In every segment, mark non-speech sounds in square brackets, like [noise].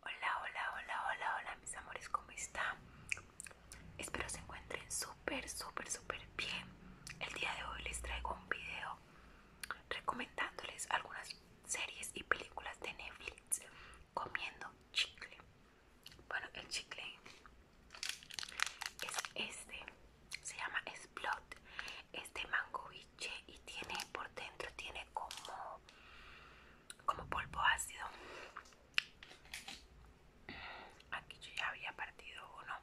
Hola, hola, hola, hola, hola mis amores, ¿cómo están? Espero se encuentren súper, súper, súper bien. El día de hoy les traigo un video recomendándoles algunas series y películas de Netflix comiendo chicle. Bueno, el chicle es este, se llama Splot, es de mango y tiene por dentro tiene como como polvo ácido aquí yo ya había partido uno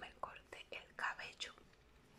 me corté el cabello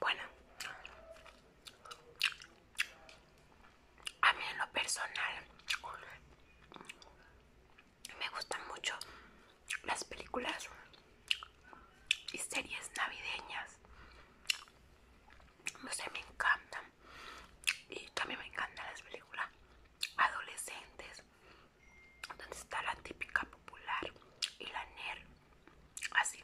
Bueno, a mí en lo personal me gustan mucho las películas y series navideñas. No sé, me encantan. Y también me encantan las películas adolescentes, donde está la típica popular y la nerd así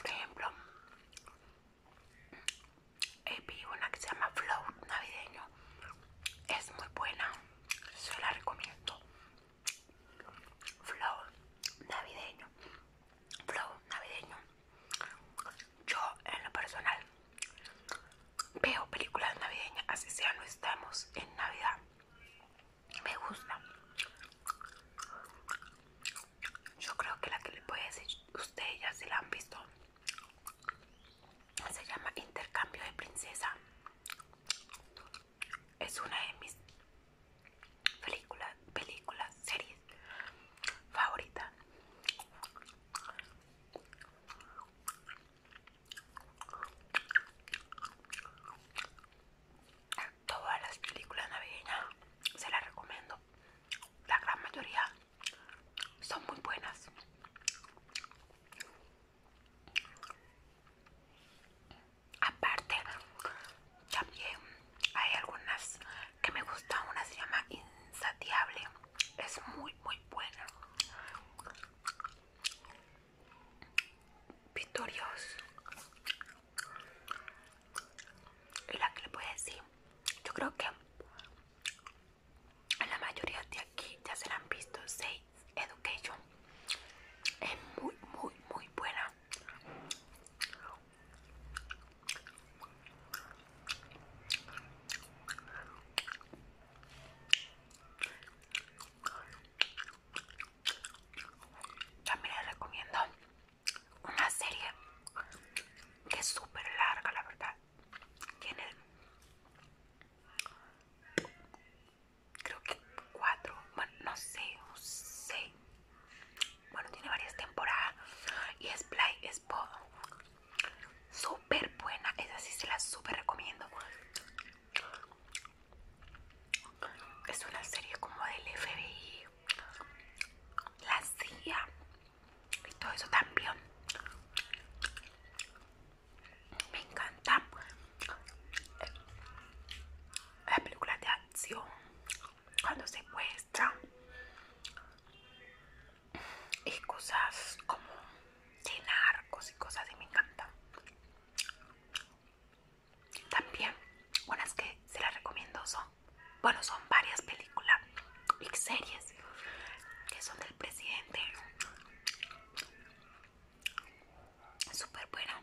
por ejemplo visto una que se llama Flow navideño es muy buena se la recomiendo Flow navideño Flow navideño yo, en lo personal, veo películas navideñas, así sea, no estamos en Navidad. Me gusta. Yo creo que la que les voy a decir, ustedes ya se la han visto. Se llama Intercambio de Princesa. Es una de mis películas, películas, series favoritas. Todas las películas navideñas se las recomiendo. La gran mayoría son muy buenas. Aparte, también hay algunas que me gustan. Una se llama Insatiable. Es muy, muy buena. Victorioso. Y la que le puedo decir, yo creo que la mayoría de aquí ya se la han visto. Seis Education es muy, muy, muy buena. También les recomiendo una serie que es súper larga, la verdad. Tiene creo que cuatro, bueno, no sé, no sé. Bueno, tiene varias temporadas y es Play Pod súper buena, esa sí se la super recomiendo. Es una serie como del FBI, la CIA y todo eso también. Me encanta la película de acción cuando se secuestran y cosas como de narcos y cosas y me encantan. También unas que se las recomiendo son, bueno, son varias películas y series que son del presidente. Súper buena.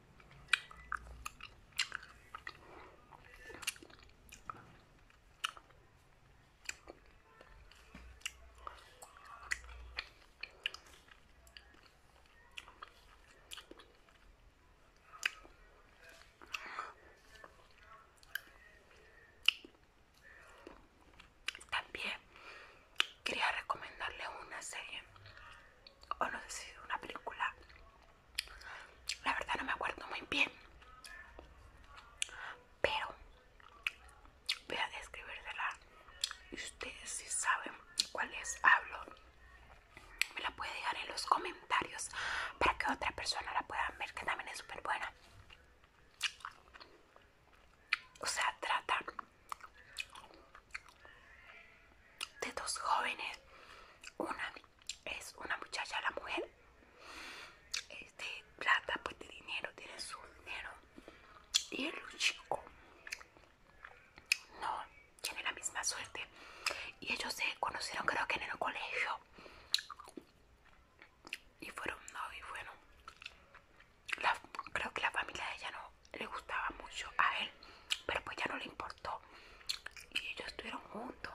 También quería recomendarle una serie o no sé si una película. La verdad no me acuerdo muy bien. Pero voy a describértela Y ustedes si saben cuál es, hablo. Me la puede dejar en los comentarios para que otra persona la pueda ver, que también es súper buena. O sea, trata de dos jóvenes. Una es una muchacha, la mujer, este, plata, pues de dinero, tiene su dinero. Y el chico no tiene la misma suerte. Y ellos se conocieron creo que en el colegio. Y fueron novios, bueno. creo que la familia de ella no le gustaba mucho a él, pero pues ya no le importó y ellos estuvieron juntos.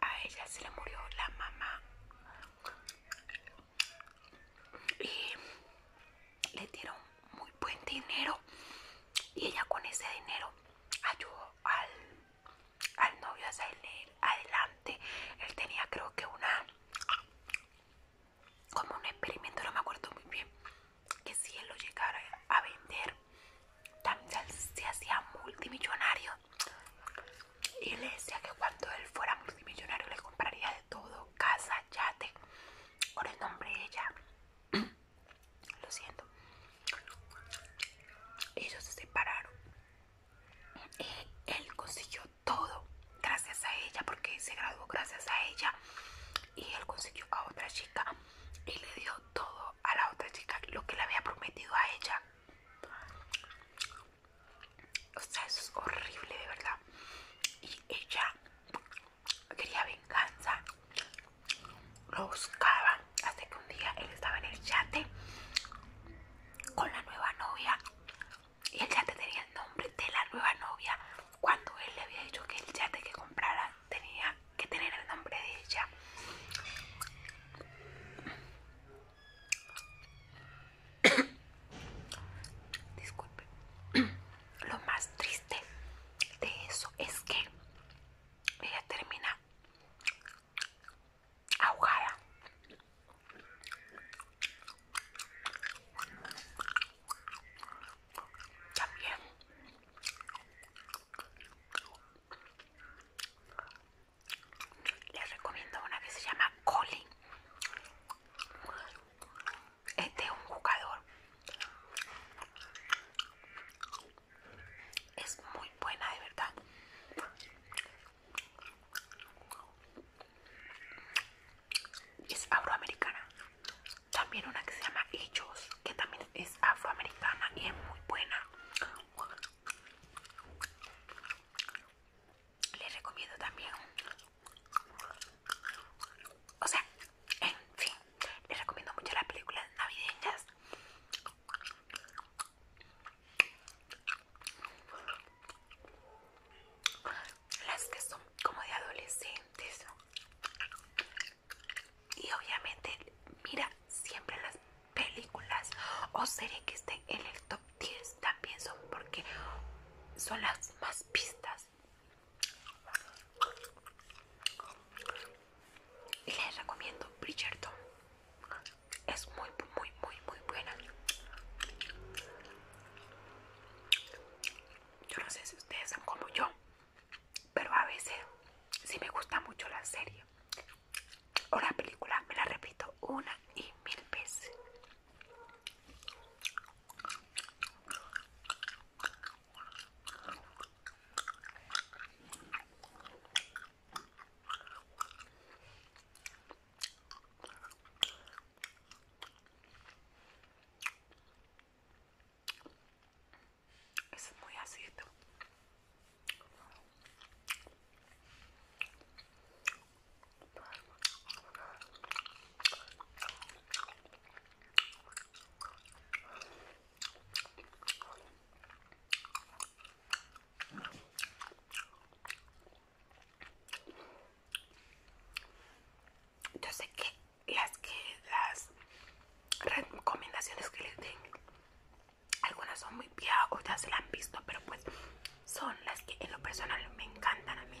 A ella se le murió la mamá y le dieron muy buen dinero y ella con ese dinero ayudó al, novio a salir adelante. Él tenía creo que una como un experimento, no me acuerdo muy bien que si él lo llegara a vender, también se hacía multimillonario. Y le decía que cuando él fuera multimillonario le compraría de todo, casa, yate, por el nombre de ella. [clears throat] Lo siento. Ellos se separaron. Y él consiguió todo gracias a ella, porque se graduó gracias a ella. Y él consiguió a otra chica y le dio todo a la otra chica, lo que le había prometido a ella. O sea, eso es horrible, de verdad. Y ella quería venganza, lo buscaba hasta que un día él estaba en el yate con la nueva novia y el yate tenía el nombre de la nueva novia cuando él le había dicho que el yate que comprara tenía, que tener el nombre de ella. [coughs] Disculpe. [coughs] Lo más triste de eso es que ella termina ahogada también les recomiendo una que se llama Colin este es un jugador es muy buena de verdad es euroamericana también una que se llama Hechos que también es afroamericana y es muy buena. Les recomiendo también. O sea, en fin, les recomiendo mucho las películas navideñas. Las que son como de adolescentes y obviamente mira siempre las películas o series que estén en el top 10 también son porque son las más pistas y les recomiendo Bridgerton es muy muy muy muy buena yo no sé si ustedes son como yo pero a veces si me gusta mucho la serie o la película me la repito una y mil veces es muy ácido yo sé que las que recomendaciones que les den algunas son muy piadas otras ya se las han visto pero pues son las que en lo personal me encantan a mí